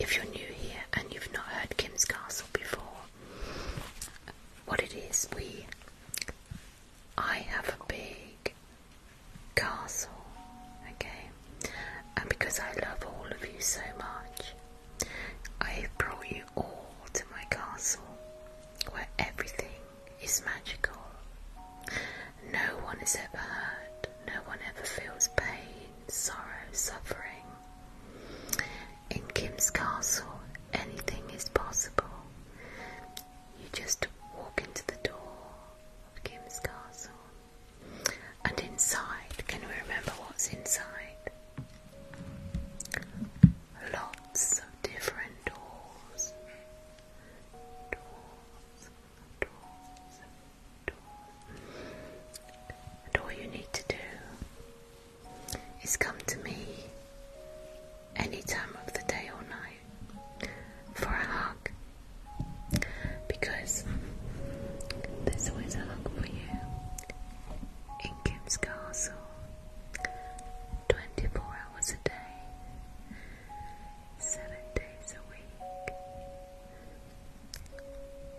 If you're new here and you've not heard Kim's Castle before, what it is, we. I have a big castle, okay? And because I love all of you so much, I have brought you all to my castle where everything is magical. No one is ever hurt, no one ever feels pain, sorrow, suffering. In Kim's castle, anything is possible. You just walk into the door of Kim's castle, and inside, can we remember what's inside? Lots of different doors. Doors, doors, and all you need to do is come to me any time of the day or night for a hug because there's always a hug for you in Kim's Castle 24 hours a day, 7 days a week.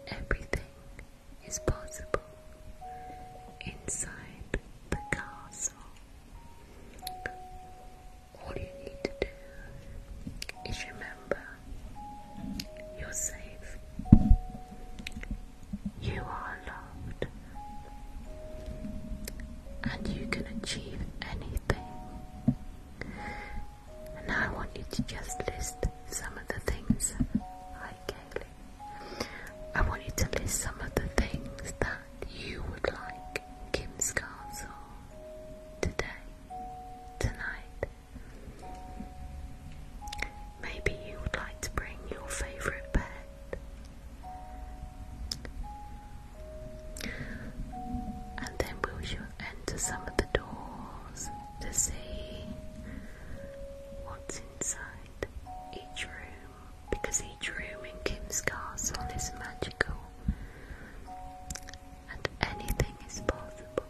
Everything is possible inside the castle. All you need to do is remember you're safe, you are loved, and you can achieve anything. And now I want you to just list some of the things. Hi, Kaylee. I want you to list some of the things that you would like Kim's Castle today, tonight. Maybe you would like to bring your favourite pet. And then we'll enter some of the doors to see what's inside each room because each room in Kim's castle is magical and anything is possible.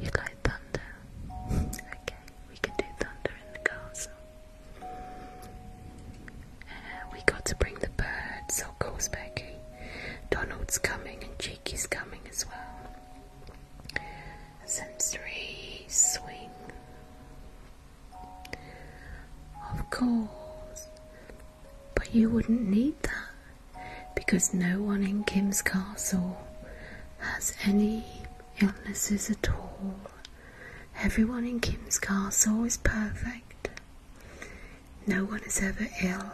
You like thunder? Okay, we can do thunder in the castle. Uh, we got to bring the birds, of course, Becky. Donald's coming and Jakey's coming as well sensory swing. Of course, but you wouldn't need that because no one in Kim's castle has any illnesses at all. Everyone in Kim's castle is perfect. No one is ever ill.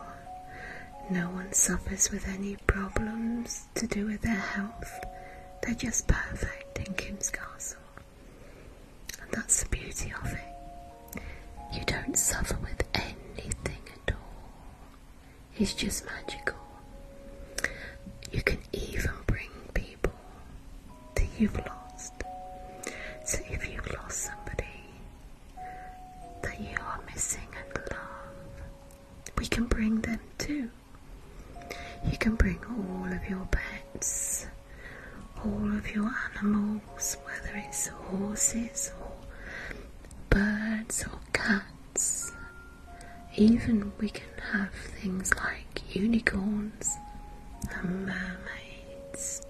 No one suffers with any problems to do with their health. They're just perfect in Kim's castle. And that's the beauty of it. You don't suffer with anything at all. It's just magical. You can even bring people that you've lost. So if you've lost somebody, that you are missing and love. We can bring them too. You can bring all of your pets, all of your animals, whether it's horses or birds or cats. Even we can have things like unicorns and mermaids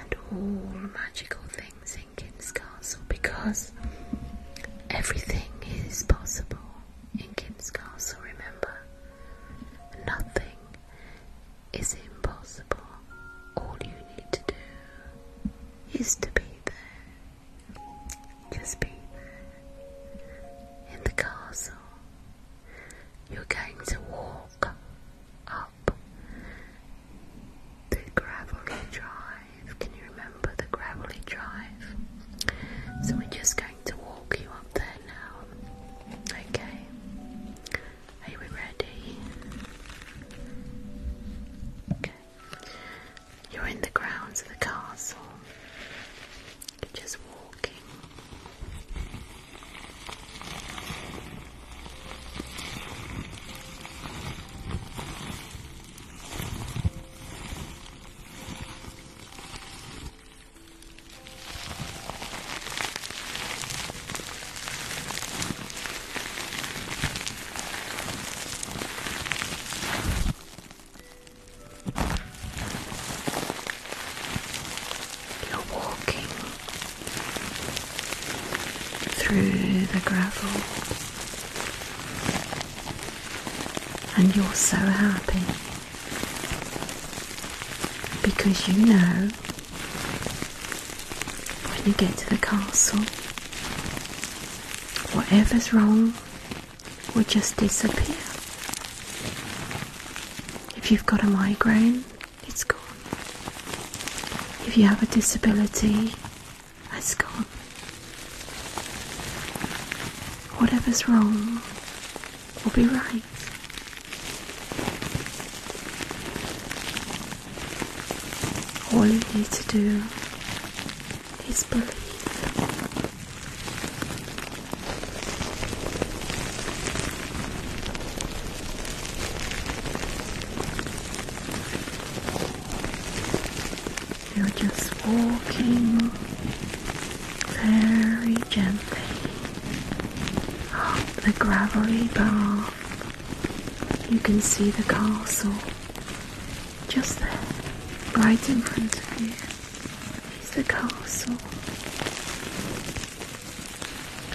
and all magical things in King's Castle because everything is possible in King's Castle, remember? Nothing is impossible. All you need to do is to be there. Just be In the castle, you're going to walk up the gravelly drive. Can you remember the gravelly drive? So we're just going to walk you up there now. Okay. Are we ready? Okay. You're in the grounds of the castle. You're just walking. You're walking through the gravel and you're so happy because you know when you get to the castle, whatever's wrong will just disappear. If you've got a migraine, it's gone. If you have a disability, Let's go. Whatever's wrong will be right. All you need to do is believe. You're just walking very gently up the gravelly path. You can see the castle just there, right in front of you. It's the castle,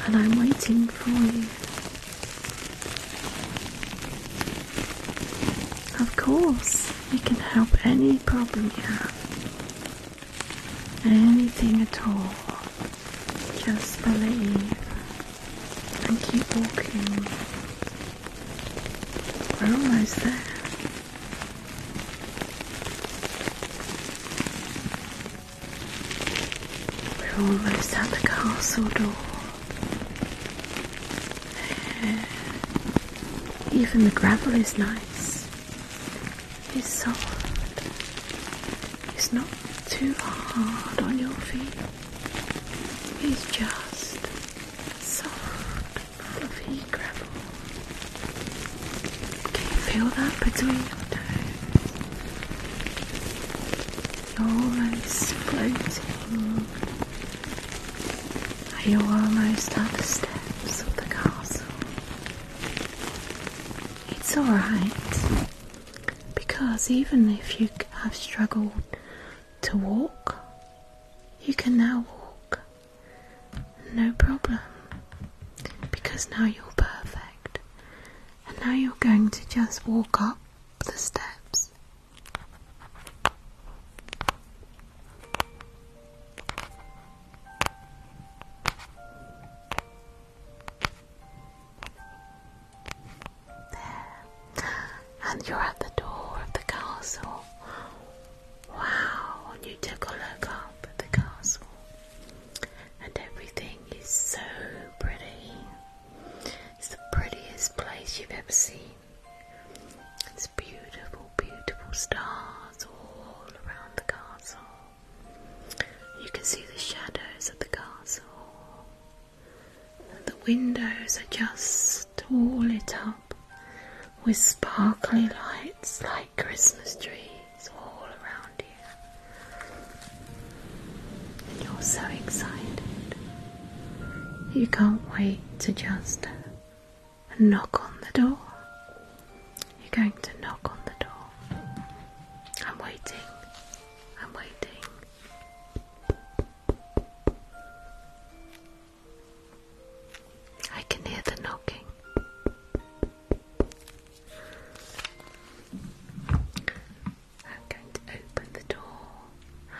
and I'm waiting for you. Of course, we can help any problem you have. Anything at all. Just believe and keep walking. We're almost there. We're almost at the castle door. Even the gravel is nice. It's soft. It's not too hard on your feet. It's just soft, fluffy gravel. Can you feel that between your toes? You're almost are you almost at the steps of the castle? It's alright, because even if you have struggled to walk, you can now walk. No problem, because now you're perfect. And now you're going to just walk up the steps and you're at the door of the castle. Wow, and you took a look up at the castle, and everything is so pretty. It's the prettiest place you've ever seen. It's beautiful, beautiful stars all around the castle. You can see the shadows of the castle. the windows are just all lit up with sparkly lights like Christmas trees all around you. And you're so excited. You can't wait to just knock on the door. You're going to knock on the door. I'm waiting. I'm waiting. I can hear the knocking. I'm going to open the door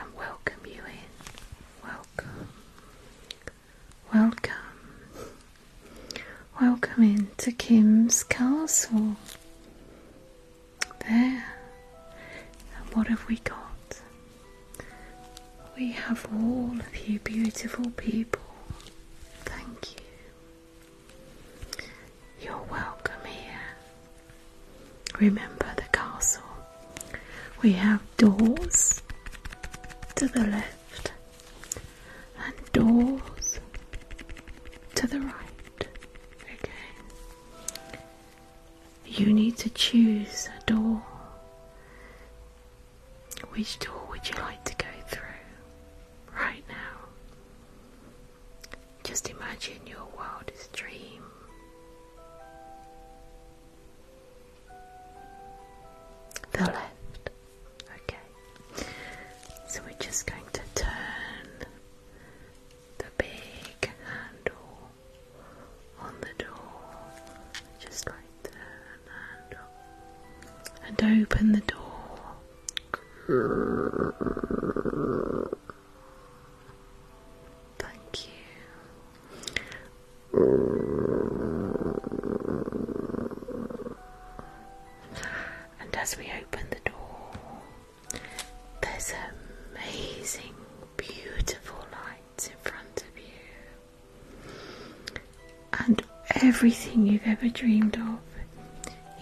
and welcome you in. Welcome. Welcome. Welcome into Kim's castle. There. And what have we got? We have all of you beautiful people. Thank you. You're welcome here. Remember the castle. We have doors to the left and doors to the right. Okay. You need to choose a door. Which door would you like to go through right now? Just imagine your wildest dream the left. Okay. So we're just going to turn the big handle on the door. Just like turn And open the door. Thank you. And as we open the door, there's amazing, beautiful lights in front of you. And everything you've ever dreamed of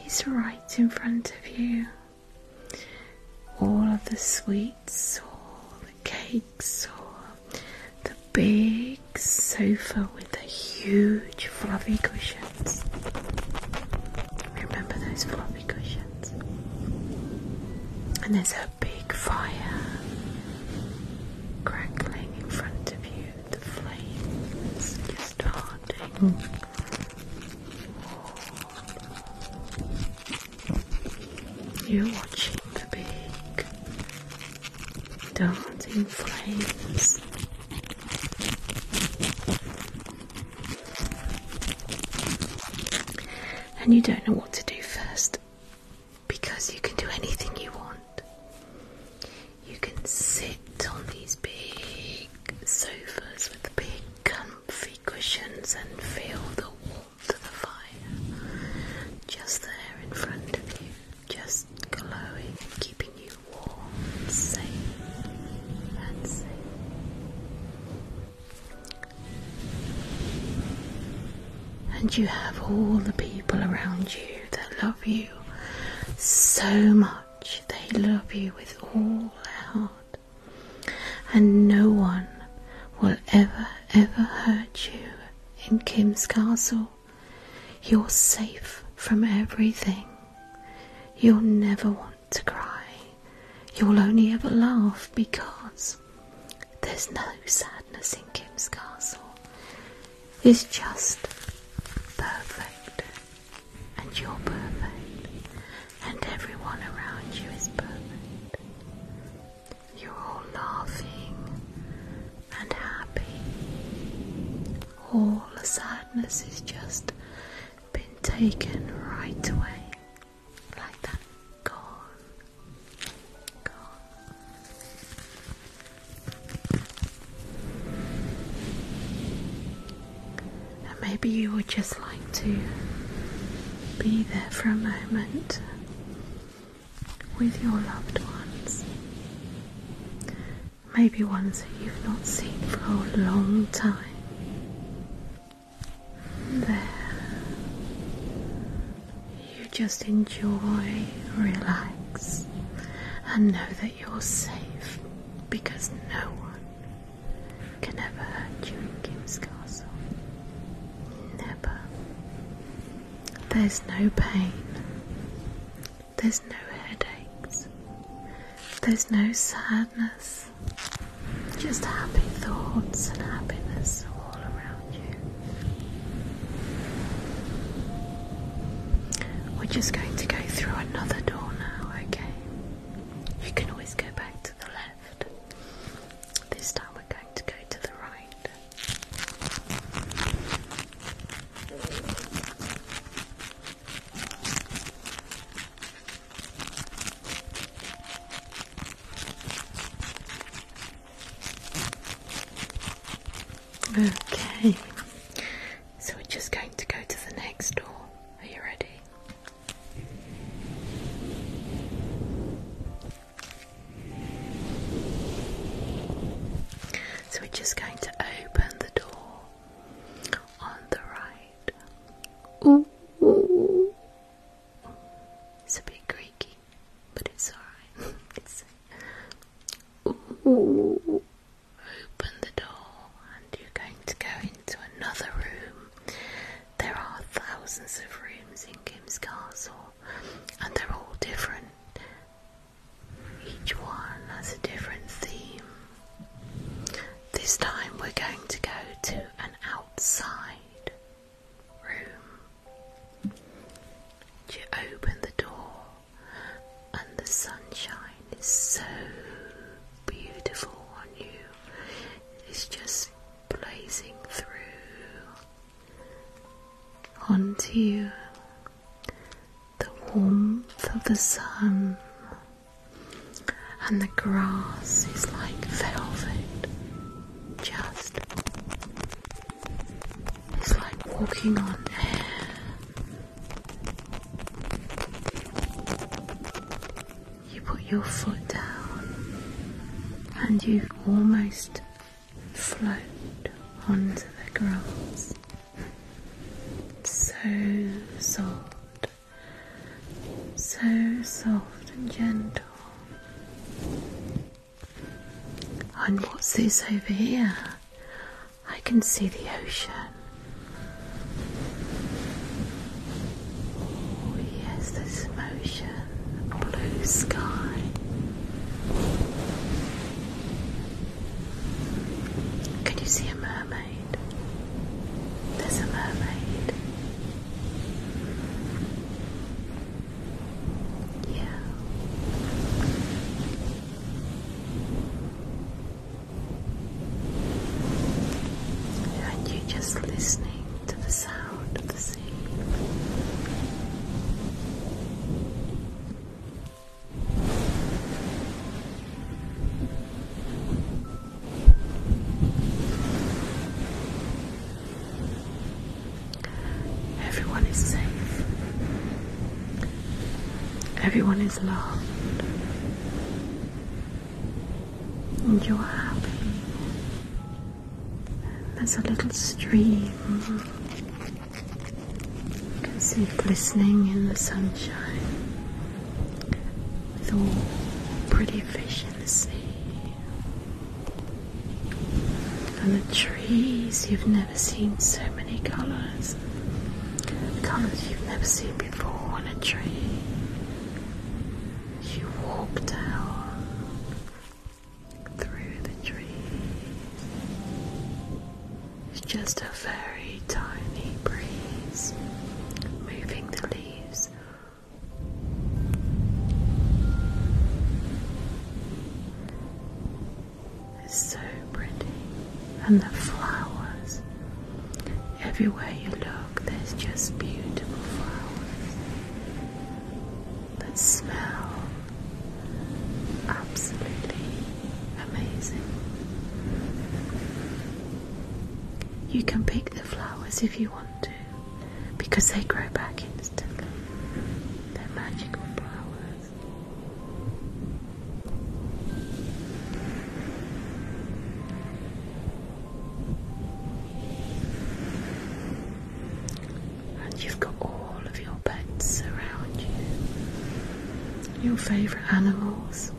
is right in front of you all of the sweets or the cakes or the big sofa with the huge fluffy cushions. Remember those fluffy cushions? And there's a big fire crackling in front of you, the flames just starting. You're watching the big dancing flames. And you don't know what to do first because you can do anything you want. You can sit on these big sofas with the big gun comfy cushions and feel the warmth of the fire just there in front of you, just glowing keeping you warm, safe, and safe. And you have all the people around you that love you so much. They love you with all their heart and no one will ever, ever hurt you in Kim's castle. You're safe from everything. You'll never want to cry. You'll only ever laugh because there's no sadness in Kim's castle. It's just perfect, and you're perfect, and everyone around you is perfect. You're all laughing and happy. All the sadness is just been taken right away. Like that. Gone. Gone maybe you would just like to be there for a moment with your loved ones. Maybe ones that you've not seen for a long time. There, you just enjoy, relax, and know that you're safe because no one can ever hurt you in Kim's castle. Never. There's no pain. There's no headaches. There's no sadness. Just happy thoughts and happiness all around you. We're just going to go through another door now, okay? You can always go back to the left. This time we're going to go to the right. Okay, so we're just going to go to the next door. Are you ready? So we're just going to open the door on the right. Ooh, It's a bit creaky, but it's alright. ooh. Open the door, and you're going to go into another room there are thousands of rooms in Kim's castle, and they're all different. Each one has a different theme. This time we're going to go to an outside room. You open the door, and the sunshine is so beautiful on you. It's just blazing through onto you. The warmth of the sun and the grass is like velvet. Just it's like walking on air you put your foot down and you almost float onto the grass. So soft, so soft and gentle. And what's this over here? I can see the ocean. Oh, yes, there's ocean blue sky. Could you see a mermaid? There's a mermaid. Yeah. And you just listening to the sound of the sea. Everyone is safe. Everyone is loved. And you're happy. There's a little stream. You can see glistening in the sunshine with all pretty fish in the sea. And the trees, you've never seen so many colours. Colours you've never seen before on a tree. You walk down through the trees. It's just a very tiny breeze moving the leaves. It's so pretty, and the flowers everywhere you look. There's just beautiful flowers. that smell, absolutely amazing. You can pick the flowers if you want to because they grow back instantly. They're magical flowers. And you've got all of your pets around you, your favourite animals.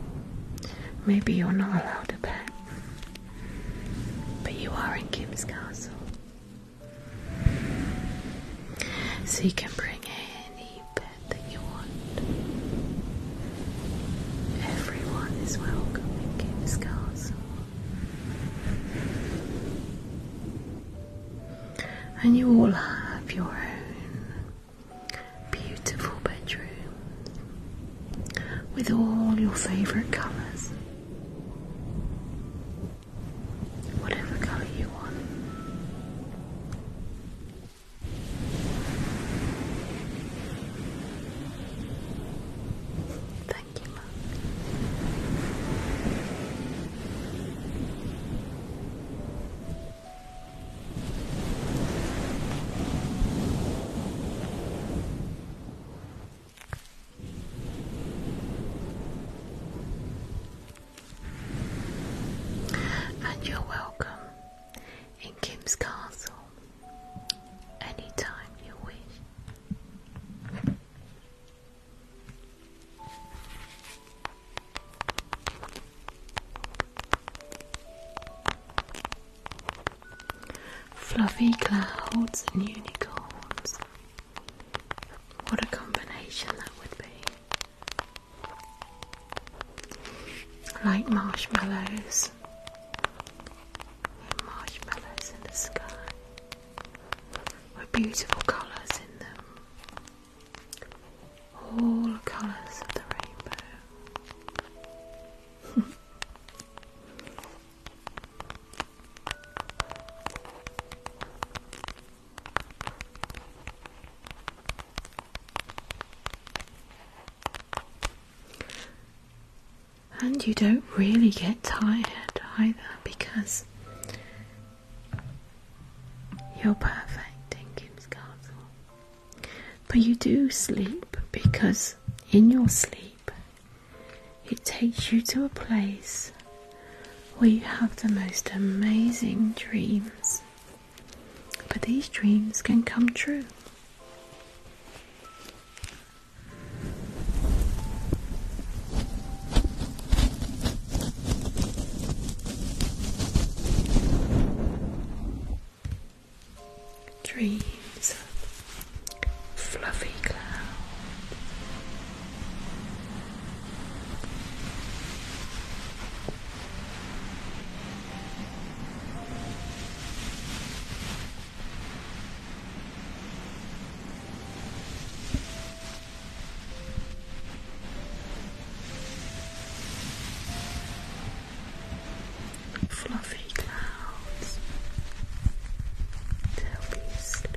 Maybe you're not allowed to pet, but you are in Kim's castle. So you can bring any pet that you want. Everyone is welcome in Kim's castle. And you all have your own beautiful bedroom with all your favourite colours. Whatever colour you want. Thank you, And you're welcome in Kim's Castle anytime you wish. Fluffy clouds and unicorns. What a combination that would be. Like marshmallows. marshmallows in the sky with beautiful colours in them. All colours of the rainbow. And you don't really get tired either because you're perfect in Kim's Castle. But you do sleep because in your sleep it takes you to a place where you have the most amazing dreams. But these dreams can come true. Dreams fluffy clouds. Fluffy clouds to help you sleep.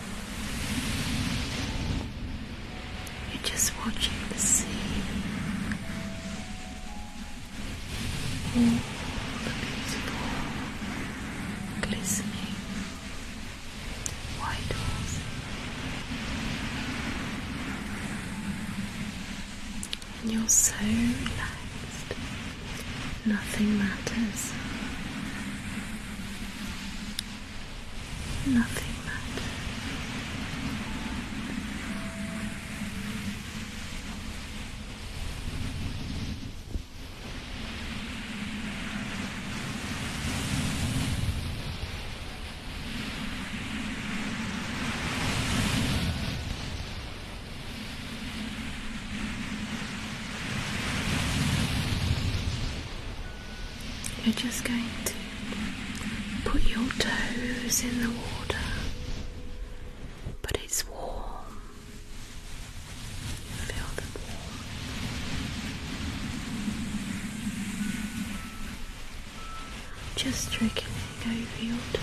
You're just watching the sea. All the beautiful, glistening white walls. And you're so relaxed. Nothing matters. Nothing matters. You're just going to put your toes in the water, but it's warm. Feel the warm. Just trickling over your toes.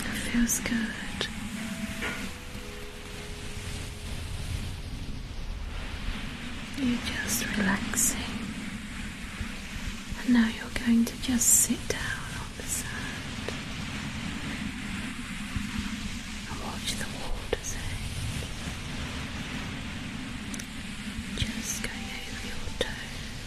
It feels good. You're just relaxing. And now you're going to just sit down on the sand and watch the waters Just go over your toes.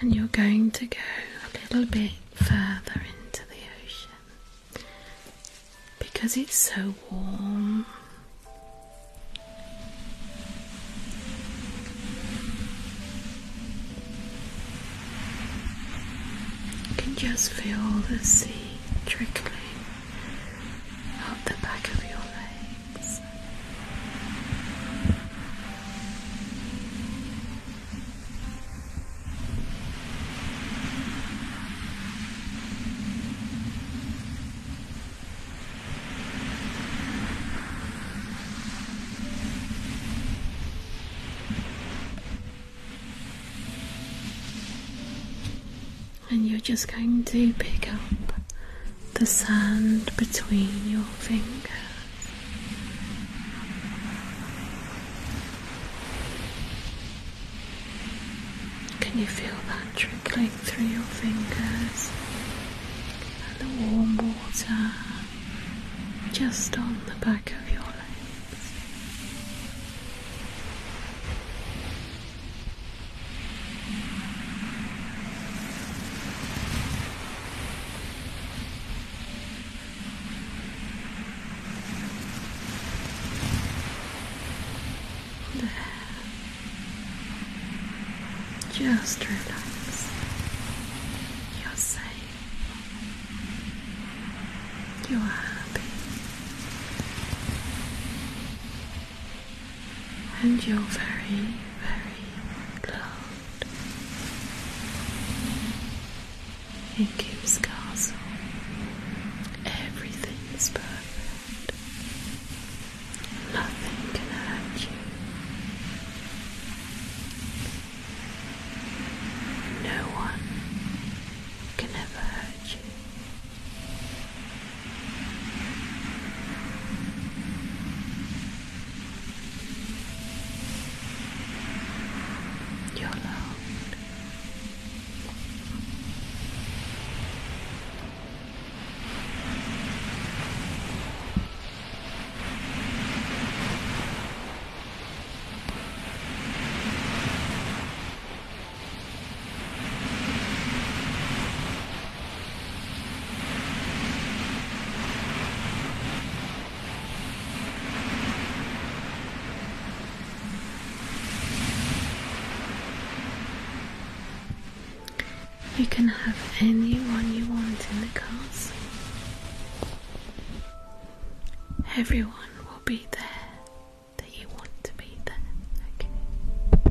And you're going to go a little bit further into the ocean because it's so warm. You can just feel the sea trickling up the back of your legs. And you're just going to pick up the sand between your fingers. Can you feel that trickling through your fingers? And the warm water just on the back of your lines. Just relax. You're safe. You are happy. And you're very, very loud. In Kim's castle, everything is perfect. Nothing can hurt you. No one can never hurt you. You're loved. You can have anyone you want in the castle. Everyone will be there that you want to be there,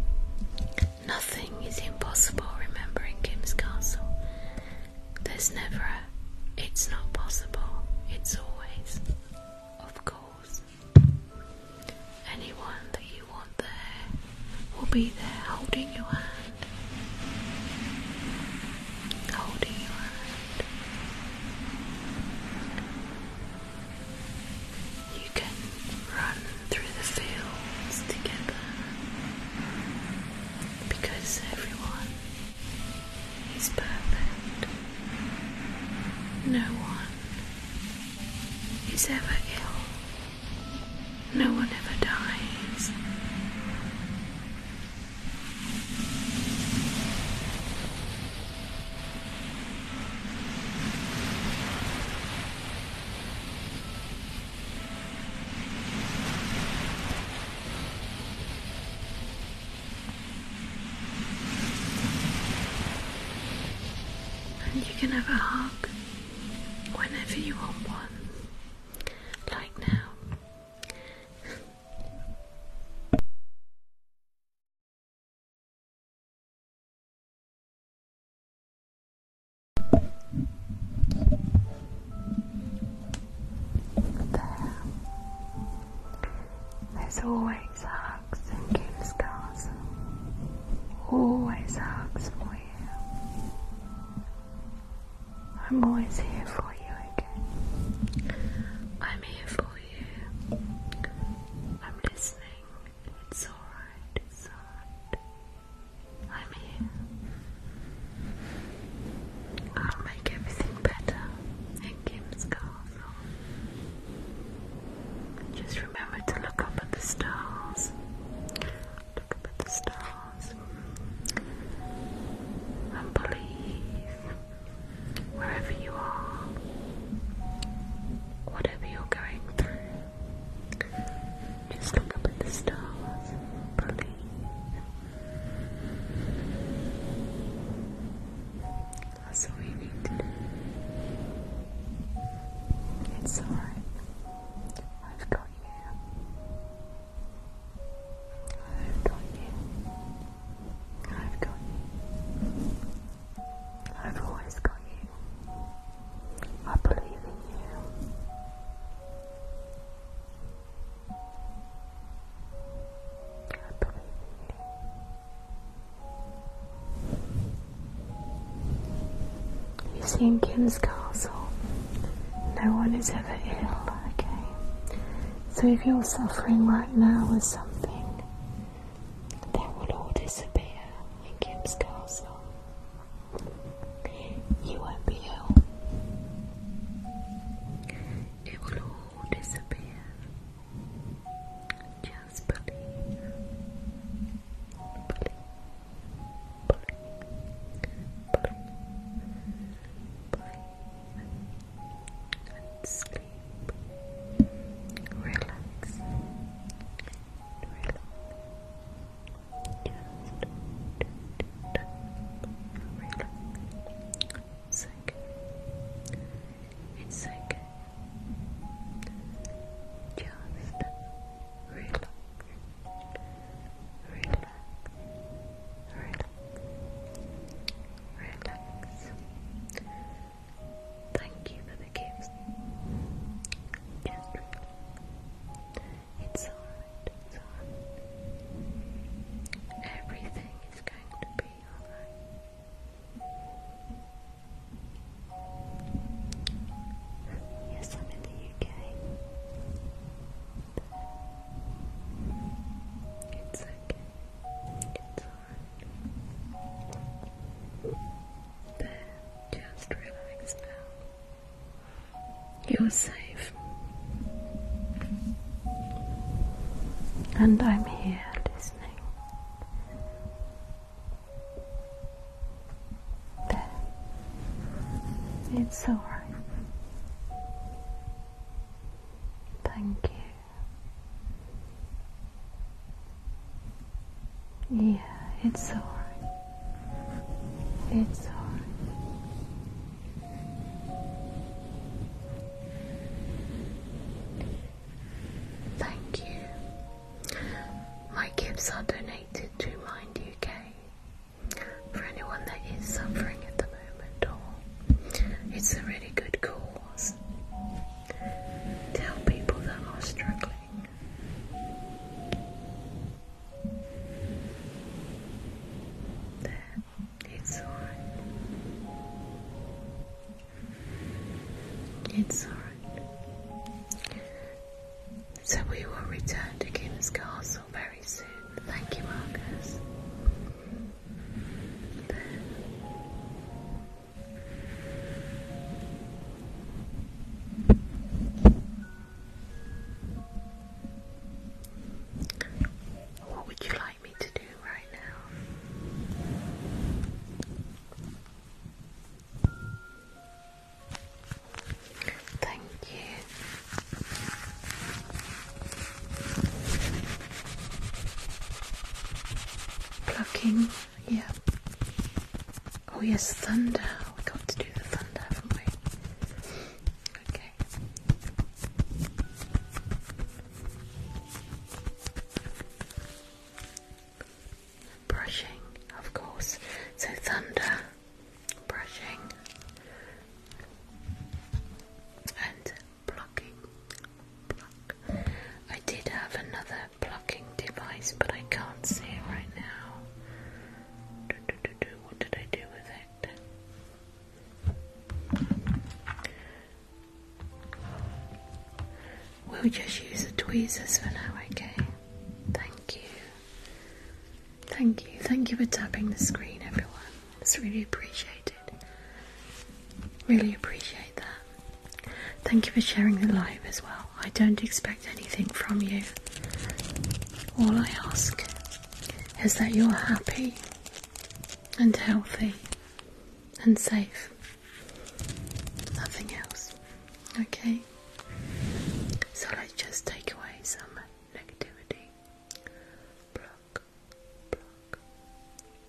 Nothing is impossible remembering Kim's castle. There's never a it's not possible, it's always, of course. Anyone that you want there will be there holding your hand. Holding your hand. You can run through the fields together because everyone is perfect. No one is ever ill. No one ever dies you can have a hug whenever you want one, like now. There. There's always hugs in King's Castle. Always hugs for you. I'm always here for you I'm here for you. I'm listening. It's alright, it's alright. I'm here. I'll make everything better in Kim's castle. Just remember to look up at the stars. Look up at the stars. And believe wherever you are, whatever you're going through, just look up at the stars, believe. That's all It's alright. I've got you. I've got you. I've got you. I've always got you. I believe in you. I believe in you. You see, in Kim's castle, no one is ever ill, okay? So if you're suffering right now with something, they will all disappear in Kim's castle. You won't be ill. It will all disappear. Just believe. Believe. Believe. Believe. believe. Relax. Relax. It's okay. It's okay. Just relax. Relax. Relax. Relax. Thank you for the gifts. it's alright, Everything is going to be alright. Yes, I'm in the UK. It's okay just relax now. You're safe. And I'm here listening. It's alright. Thank you. Yeah, it's alright. It's alright. Thank you. My gifts are donated to Mind UK for anyone that is suffering at the moment, it's a really good cause. Tell people that are struggling. There, it's alright. It's alright. So we will return to King's castle very soon. Thank you, Marcus. What would you like me to do right now? Thank you. Plucking yeah. Oh yes, thunder. We got to do the thunder, haven't we? Okay. Brushing, of course. So thunder, brushing, and plucking. I did have another plucking device, but I can't see it right now. Do, do, do, do. What did I do with it? We'll just use the tweezers for now, okay? Thank you. Thank you. Thank you for tapping the screen, everyone. It's really appreciated. Really appreciate that. Thank you for sharing the live as well. I don't expect anything from you. All I ask is that you're happy and healthy and safe. Nothing else. Okay? So let's just take away some negativity. Block, block,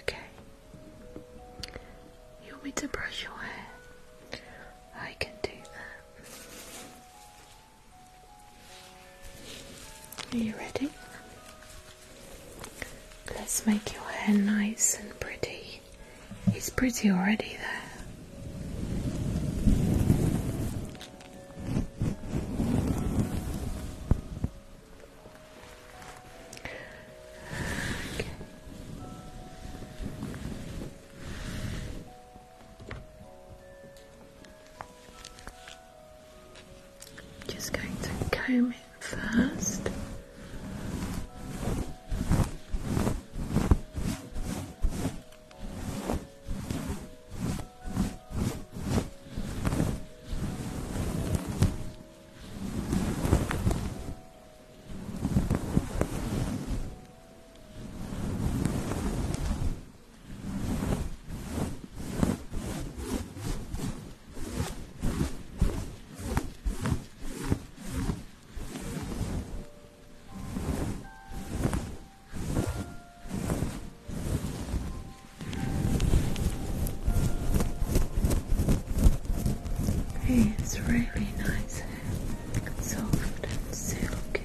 Okay. You want me to brush your hair? I can do that. Are you ready? Let's make your hair nice and pretty. It's pretty already there. I'm just going to comb it first it's really nice, soft and silky.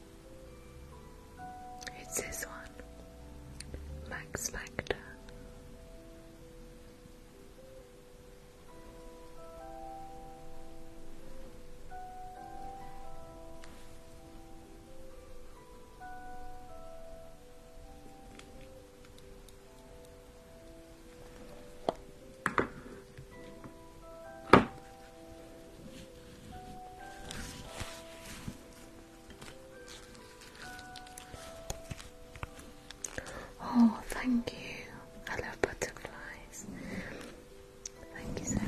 It's this one, Max Factor. Oh, thank you. I love butterflies. Thank you so much.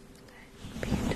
Beautiful. Good.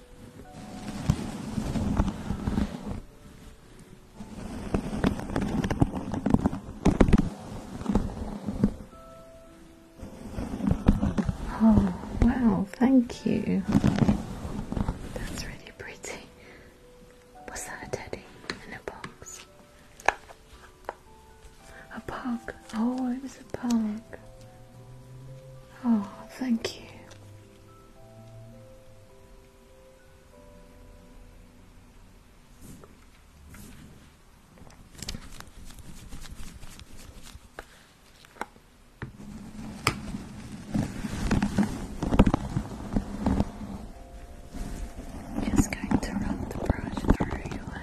Oh, wow, thank you. That's really pretty. Was that a teddy in a box? A pug. Oh, it was a pug. Oh, thank you. Just going to run the brush through your hair,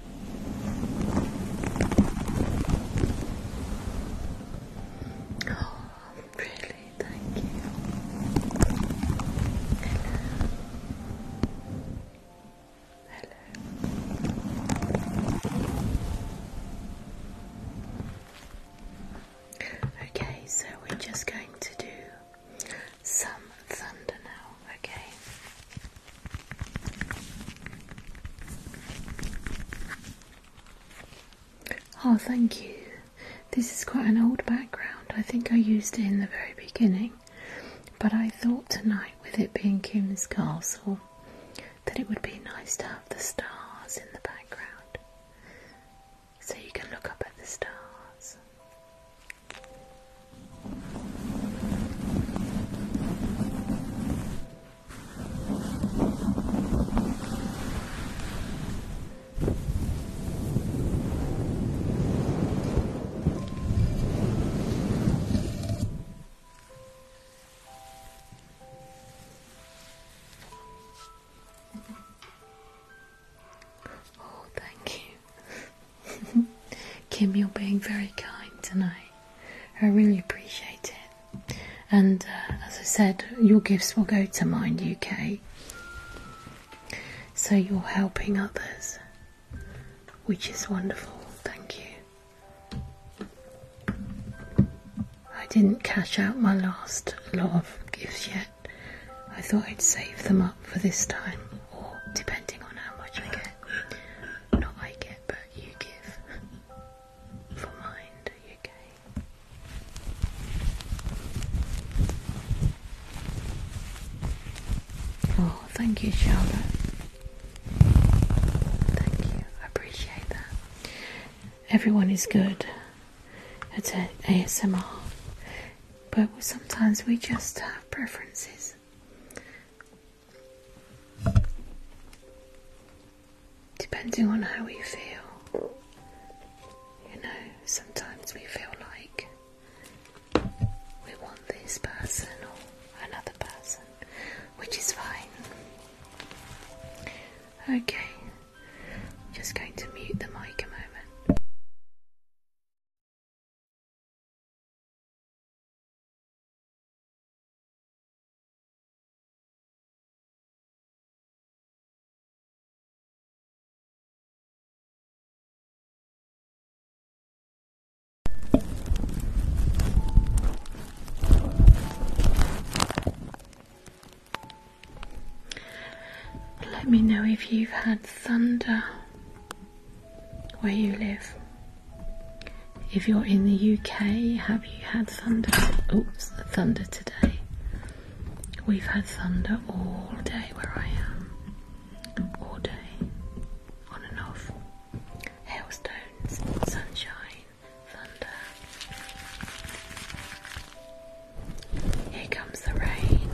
Oh, really? Thank you. Hello. Hello. Okay, so we're just going to do some thunder now, okay? Oh, thank you. This is quite an old background. I think I used it in the very beginning, but I thought tonight, with it being Kim's castle, that it would be nice to have the stars in the background so you can look up at the stars. Oh, thank you. Kim, you're being very kind tonight. I really appreciate it. And uh, as I said, your gifts will go to Mind UK. So you're helping others, which is wonderful. Thank you. I didn't cash out my last lot of gifts yet. I thought I'd save them up for this time, or depending on how much I get. Not I get, but you give. Oh, thank you, Charlotte. Thank you, I appreciate that. Everyone is good at ASMR, but sometimes we just have preferences. Depending on how we feel, you know, sometimes we feel like we want this person or another person, which is fine. Okay, just going to mute the mic a moment. Let me know if you've had thunder where you live. If you're in the UK, have you had thunder? Oops, thunder today. We've had thunder all day where I am. All day. On and off. Hailstones, sunshine, thunder. Here comes the rain.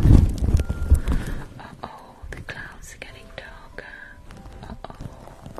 Uh oh, the clouds are getting darker. Uh oh.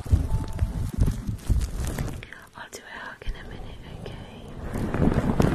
I'll do it hug in a minute, okay?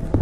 Is the right.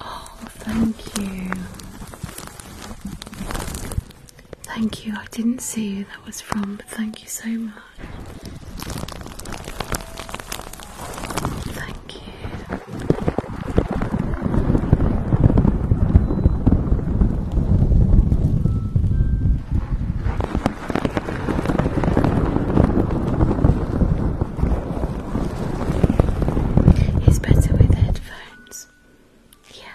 Oh, thank you. Thank you. I didn't see that was from, thank you so much. Thank you. It's better with headphones. Yeah.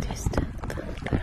Distant thunder.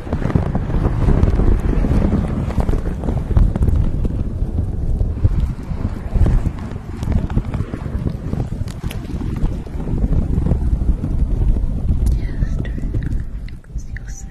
you say you'll try everything. It's going to be alright.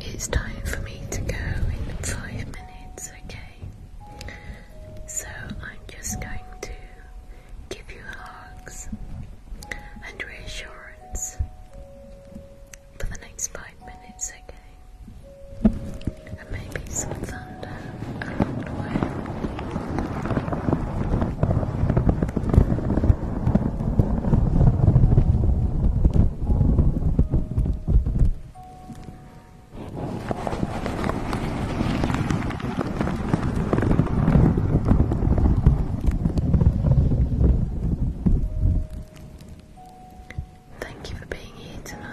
It's time for me to go in five minutes, okay? So I'm just going to give you hugs and reassurance for the next five minutes, okay? And maybe some thunder along the way. Thank you for being here tonight.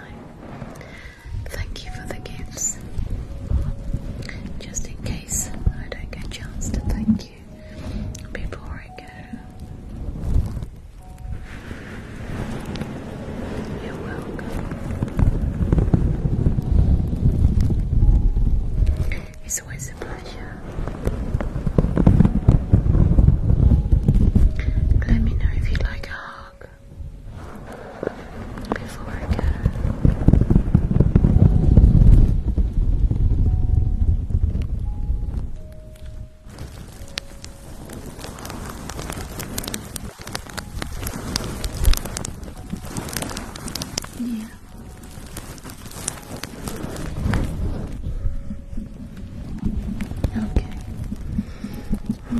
Thank you for the gifts. Just in case I don't get a chance to thank before I go. You're welcome. It's always a pleasure. Let me know if you'd like a hug before I go. Yeah. Okay.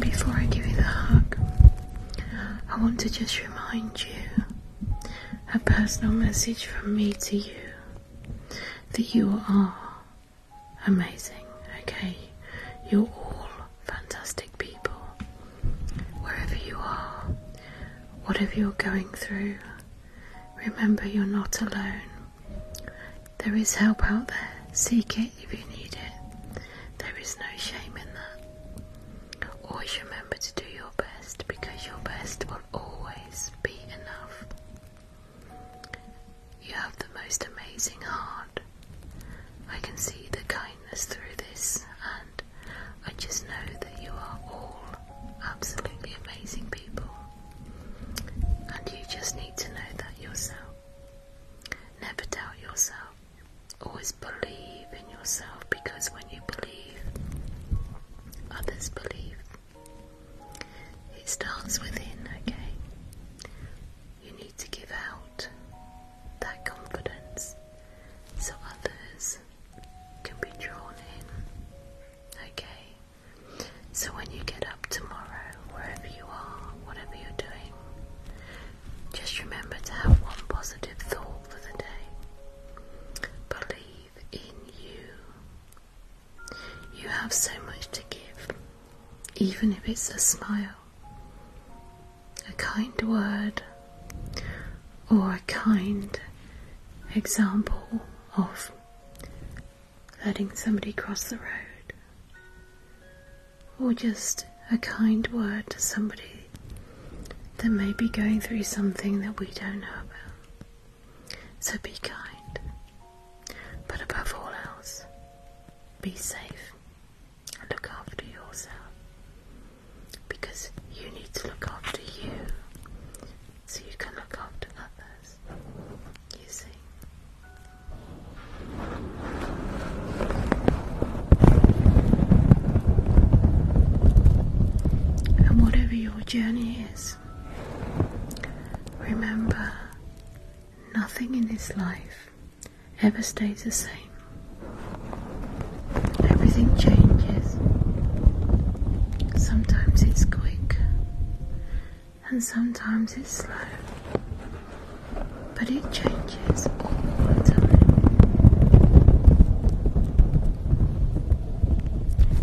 Before I give you the hug, I want to just remind you a personal message from me to you that you are amazing, okay? You're all fantastic people. Wherever you are, whatever you're going through, remember you're not alone. There is help out there. Seek it if you need it. There is no shame in that. Always remember to do your best because your best will always be enough. You have the most amazing heart. I can see the kindness through this, and I just know that you are all absolutely amazing people. And you just need to know that yourself. Never doubt yourself. Always believe in yourself because when you believe, others believe. It starts within, okay? You need to give out that confidence so others can be drawn in, okay? So when you get up tomorrow, wherever you are, whatever you're doing, just remember to have one positive thought for the day. Believe in you. You have so much to give, even if it's a smile, a kind word, or a kind example of letting somebody cross the road, or just a kind word to somebody that may be going through something that we don't know about. So be kind, but above all else, be safe and look after yourself because you need to look after you so you can look after others. You see. And whatever your journey is, Remember, nothing in this life ever stays the same. Everything changes. Sometimes it's quick, and sometimes it's slow. But it changes all the time.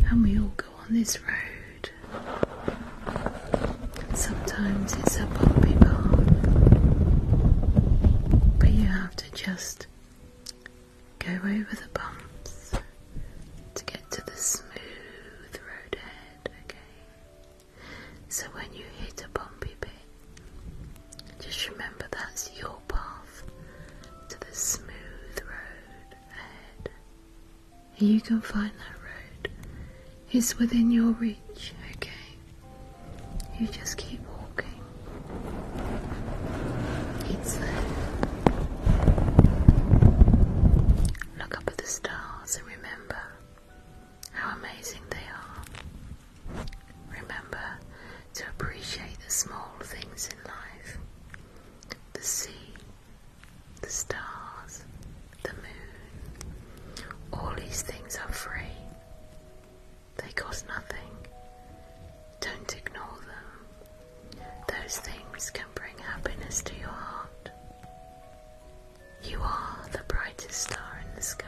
And we all go on this road. Sometimes it's a bumpy bomb, but you have to just go over the bumps to get to the smooth road ahead, okay? So when you hit a bumpy bit, just remember that's your path to the smooth road ahead. You can find that road. It's within your reach, okay? You just keep walking. It's there. Look up at the stars and remember how amazing they are. Remember to appreciate the small things in life the sea, the stars, the moon, all these things are free. They cost nothing. Don't ignore them. Those things can bring happiness to your heart. You are the brightest star in the sky,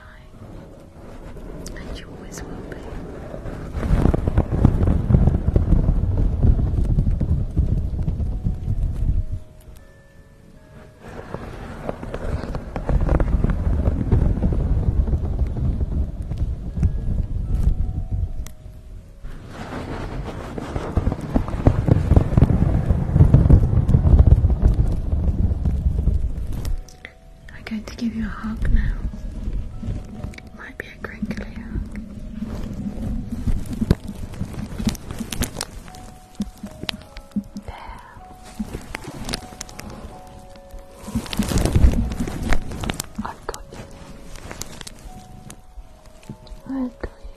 and you always will be. I'm going to give you a hug now. Might be a crinkly hug. I've got you. I've got you.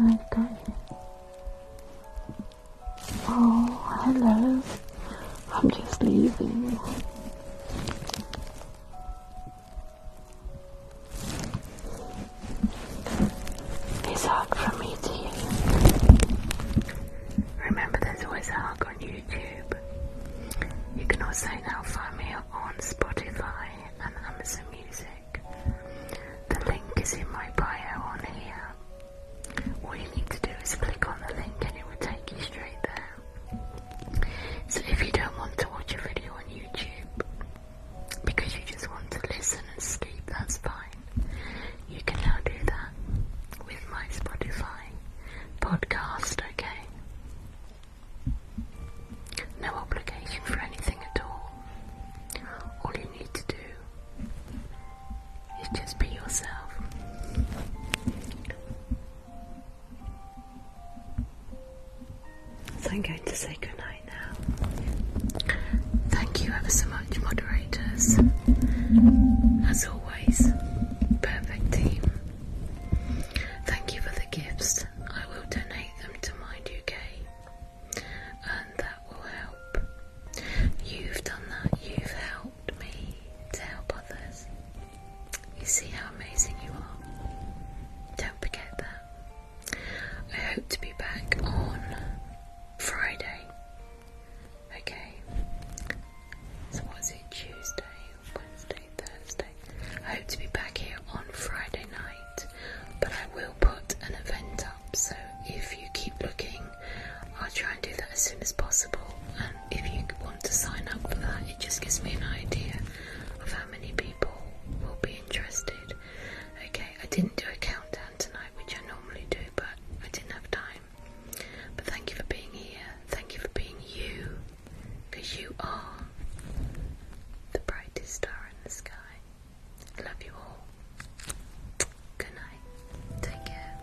I've got you. Oh, hello. I'm just leaving. This hug from me to you. Remember, there's always a hug on YouTube. You can also now find me on Spotify and Amazon Music. The link is in my bio on here. All you need to do is click on the link and it will take you straight there. So if you don't want to watch a video on YouTube because you just want to listen and sleep, that's fine. You can now do that with my Spotify podcast, okay? No obligation for anything at all. All you need to do is just be yourself. I'm going to say goodnight now. Thank you ever so much, moderators. As always, perfect team. Thank you for the gifts. I will donate them to Mind UK, and that will help. You've done that, you've helped me to help others. You see how amazing you are. Don't forget that. I hope to be back on Friday. Okay. So was it? Tuesday, Wednesday, Thursday. I hope to be back here on Friday night, but I will put an event up. So if you keep looking, I'll try and do that as soon as possible. And if you want to sign up for that. It just gives me an idea of how many people will be interested. Okay, I didn't do a countdown tonight, which I normally do, but I didn't have time. But thank you for being here. Thank you for being you, because you are the brightest star in the sky. I love you all. Good night. Take care.